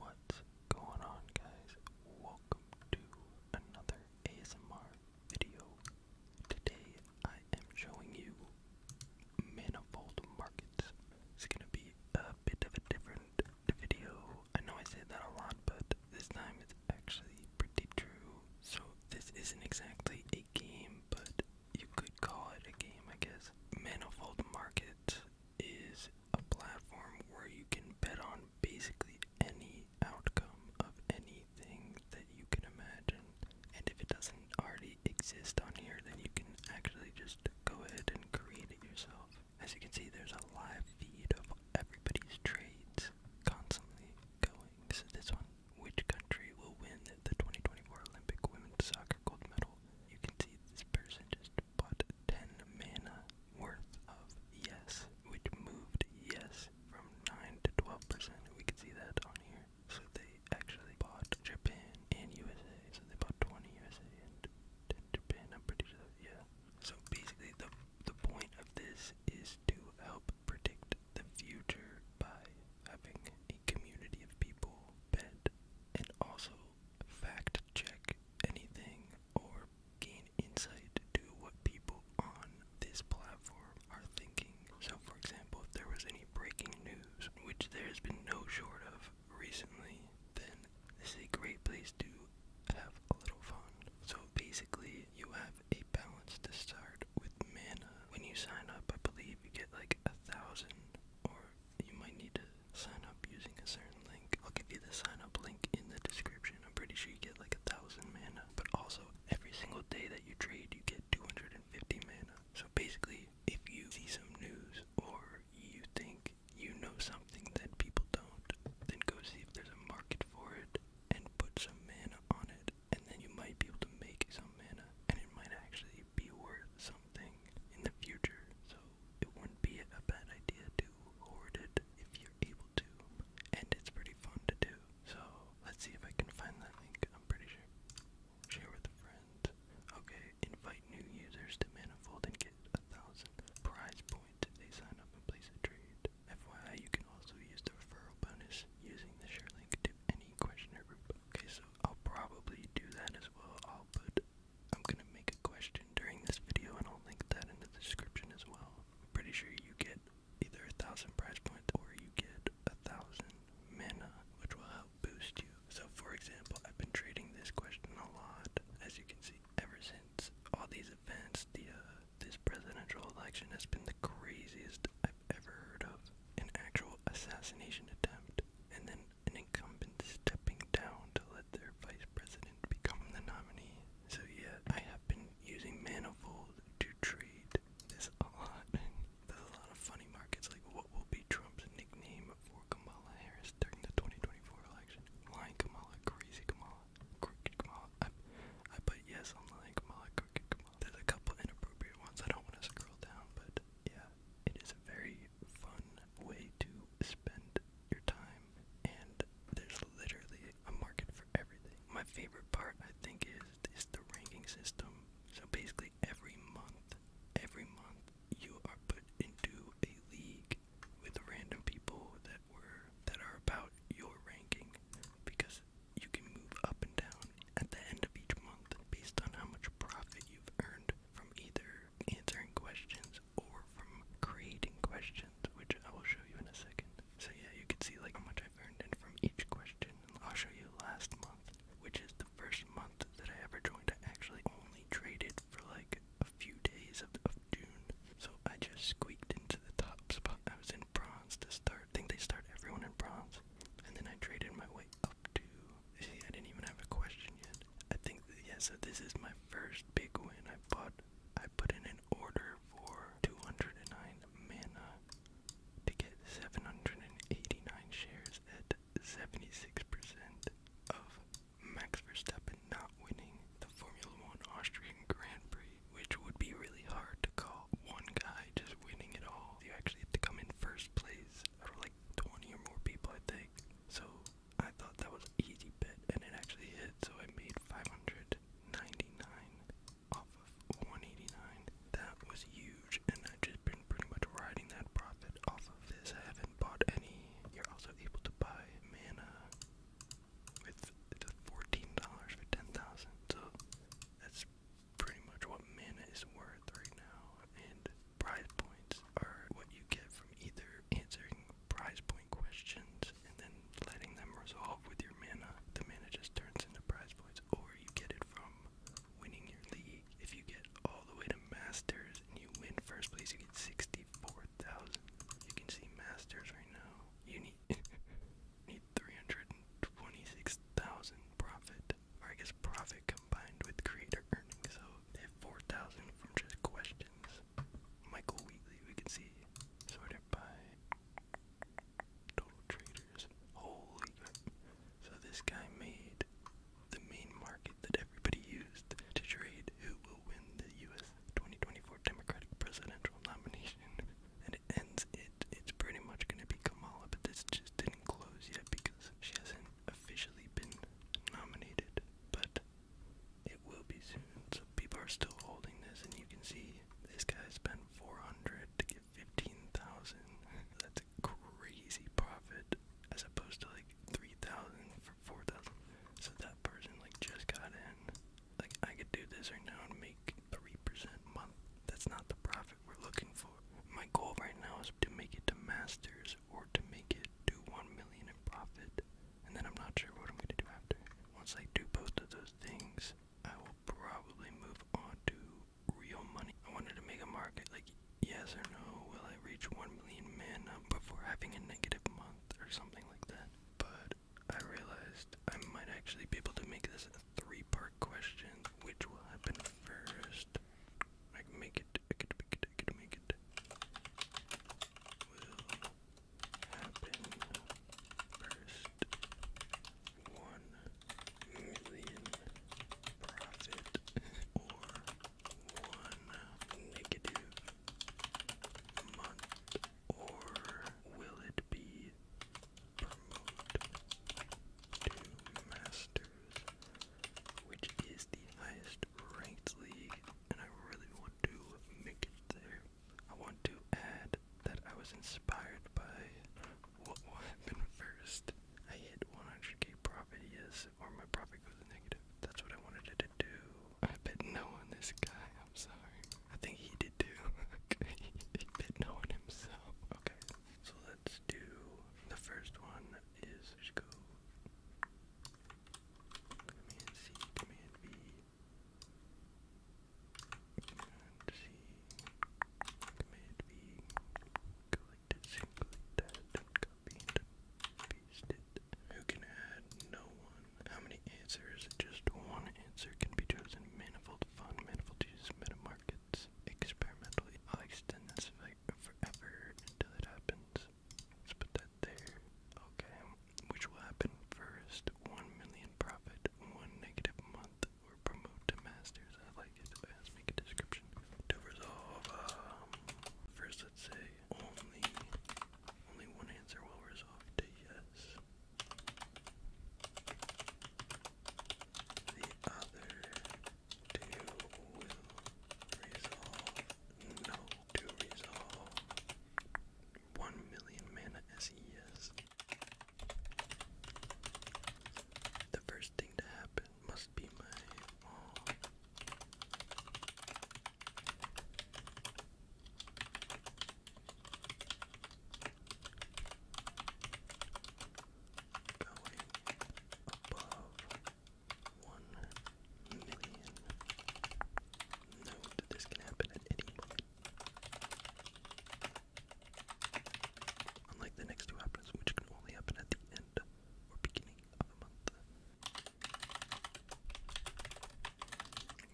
What's going on guys? Welcome to another ASMR video. Today I am showing you manifold markets. It's gonna be a bit of a different video. I know I say that a lot, but this time it's actually pretty true. So this isn't exactly a game, but you could call it a game, I guess. Manifold market is a platform where you can bet on basically any outcome of anything that you can imagine. And if it doesn't already exist on here, then you can actually just go ahead and create it yourself. As you can see, there's a live feed of everybody's trades constantly going. So this one, which country will win the 2024 Olympic women's soccer gold medal? You can see this person just but 10 mana worth of yes, which moved yes from 9 to 12%. We could see that on here. So they actually bought Japan and USA. So they bought 20 USA and 10 Japan, I'm pretty sure. Yeah. So basically, the, the point of this is to help predict the future by having a community of people bet and also fact check anything or gain insight to what people on this platform are thinking. So, for example, if there was any breaking news, which there's been no short of recently, then this is a great place to have a little fun. So, basically, you have a balance to start with mana. When you sign up, I believe you get like a thousand or you might need to sign up using a certain link. I'll give you the sign up link in the description. I'm pretty sure you get like a thousand mana, but also every single day that you trade, you get 250 mana. So basically, if you see some news or you think you know something that people don't, then go see if there's a market for it and put some mana on it, and then you might be able to make some mana, and it might actually be worth something in the future. So it wouldn't be a bad idea to hoard it if you're able to. And it's pretty fun to do. So let's see if I can find that link. I'm pretty sure. Share with a friend. Okay, invite new users to Manifold and get a thousand prize points if they sign up and place a trade. FYI, you can also use the referral bonus using the share link to any questioner group. Okay, so I'll probably do that as well. I'll put I'm gonna make a question during this video, and I'll link that in the description as well. I'm pretty sure you get either a thousand prize points or you get a thousand mana, which will help boost you. So, for example, I've been trading this question a lot, as you can see, ever since all these events. The uh, this presidential election has been the craziest I've ever heard of. An actual assassination attempt, and then an incumbent stepping down to let their vice president become the nominee. So yeah, I have been using Manifold to trade this a lot. There's a lot of funny markets like what will be Trump's nickname for Kamala Harris during the 2024 election? Lying Kamala, Crazy Kamala, Crooked Kamala. I, I put yes on Lying Kamala, Crooked Kamala. There's a couple inappropriate ones. I don't want to scroll down, but yeah, it is a very fun way to spend your time, and there's literally a market for everything. My favorite part, I think, is is the ranking system. So basically, every month, every month, you are put into a league with random people that were that are about your ranking, because you can move up and down at the end of each month based on how much profit you've earned from either answering questions or from creating questions, which I will show you in a second. So yeah, you can see like how much I've earned in from each question. I'll show you last month, which is the first month that I ever joined. I actually only traded for like a few days of, of June. So I just squeaked into the top spot. I was in bronze to start. I think they start everyone in bronze. And then I traded my way up to. See, I didn't even have a question yet. I think, yeah, so this is my my first big win, I bought I put in an order for 209 mana to get 789 shares at 76% of Max Verstappen not winning the Formula One Austrian Grand Prix, which would be really hard to call one guy just winning it all. You actually have to come in first place out of like 20 or more people, I think. So I thought that was an easy bit, and it actually hit, so I made 599 off of 189. That was huge, and I've just been pretty much riding that profit off of this. I haven't bought any. You're also able to buy mana with $14 for 10,000, so that's pretty much what mana is worth right now, and prize points are what you get from either answering prize point questions and then letting them resolve with your mana. The mana just turns into prize points, or you get it from winning your league. If you get all the way to Masters and you win first place, you get 64,000. You can see Masters right now. You need, need 326,000 profit, or I guess profit combined with creator earnings, so they 4,000 from just questions. Michael Wheatley, we can see, sorted by total traders. Holy So this guy made the main market that everybody used to trade who will win the U.S. 2024 Democratic presidential nomination. and it ends, it, it's pretty much going to be Kamala, but this just didn't close yet because she hasn't officially been nominated, but it will be soon. So people are still holding this, and you can see this guy spent 400 to get 15,000. That's a crazy profit, as opposed to like 3,000 for 4,000. So that person like just got in. Like I could do this right now and make 3% month. That's not the profit we're looking for. My goal right now is to make it to masters or to make it to 1 million in profit. And then I'm not sure what I'm gonna do after. Once I do both of those things, I will probably move on to real money. I wanted to make a market like yes or no, will I reach one million mana before having a negative month or something like that? But I realized I might actually be able to make this a three part question. Which will happen first? I can make it I could make it it, I make it happen first. One million profit or one negative month or will it be promote to masters which is the highest ranked league, and I really want to make it there. I want to add that I was inspired by what will happen first. I hit 100k profit, yes, or my profit goes negative. That's what I wanted to do. I bet no on this guy, I'm sorry. I think he did too. he bet no on himself. Okay, so let's do the first one is, go. Command C, Command V. Command C, Command V. Who can add? No one. How many answers? Just one answer can be chosen. Manifold fun, manifold use, meta markets, experimentally. I'll extend this forever until it happens let that there. Okay. Which will happen first? 1 million profit, 1 negative month, or promote to masters. I like it. Let's make a description. To resolve, um, first let's say only, only one answer will resolve to yes. The other two will resolve no to resolve. One million mana as he is. The first thing to happen must be my above one million. Note this can happen at any moment. Unlike the next two happens, which can only happen at the end or beginning of a month.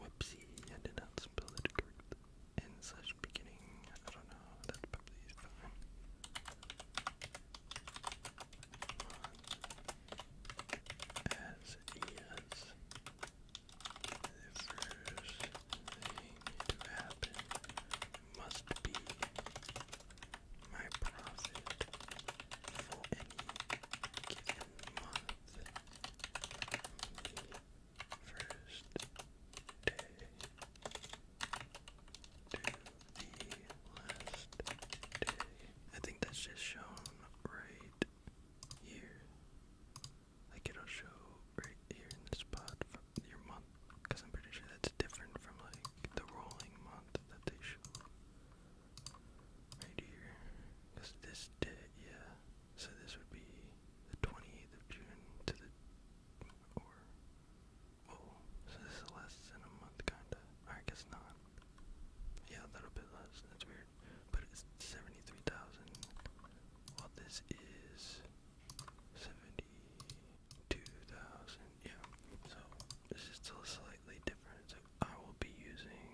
Whoopsie, I did not spell it correctly. End slash beginning, I don't know, that's probably fine as yes the first thing to happen must be my profit for any given month. First day to the last day I think that's just shown right here. Like it'll show right here in the spot from your month, because I'm pretty sure that's different from like the rolling month that they show right here. Because this did, yeah. So this would be the 28th of June to the or oh, so this is less a month, kinda. I guess not. Yeah, that'll be less. That's weird. But it's 73,000. Well, this is 72,000. Yeah. So this is still slightly different. So I will be using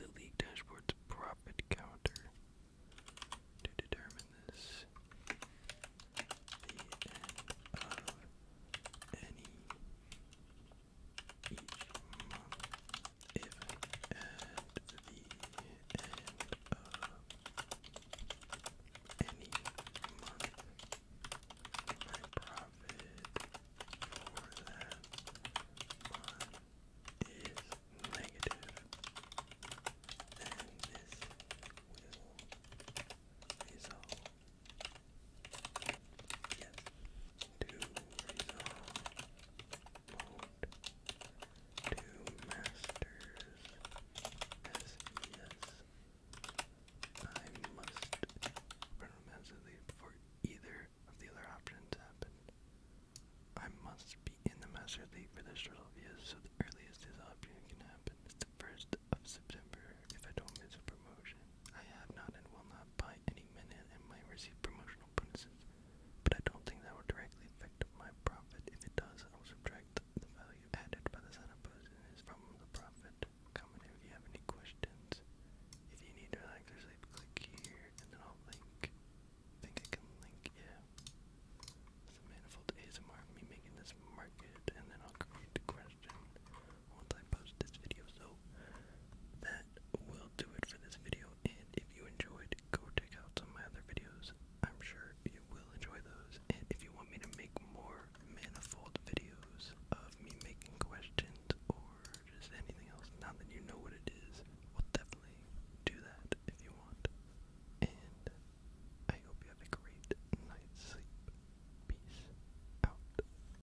the league dashboard's profit counter to determine this each month, the end of any month. My profit for that month is negative, and this will result Yes. To masters. Yes, I must chronomancily before either of the other options happen. I must be in the master league for this result, yes, so the earliest this option can happen is the first of September if I don't miss a promotion. I have not and will not buy any minute and might receive promotional bonuses, but I don't think that will directly affect my profit. If it does, I will subtract the value added by the setup business from the profit. Comment if you have any questions. If you need to relax or sleep, click here and then I'll link. think I can link, yeah. It's manifold ASMR, me making this market, and then I'll create the question once I post this video. So that will do it for this video. And if you enjoyed, go check out some of my other videos. I'm sure you will enjoy those. And if you want me to make more manifold videos of me making questions or just anything else, now that you know what it is, we'll definitely do that if you want. And I hope you have a great night's sleep. Peace out.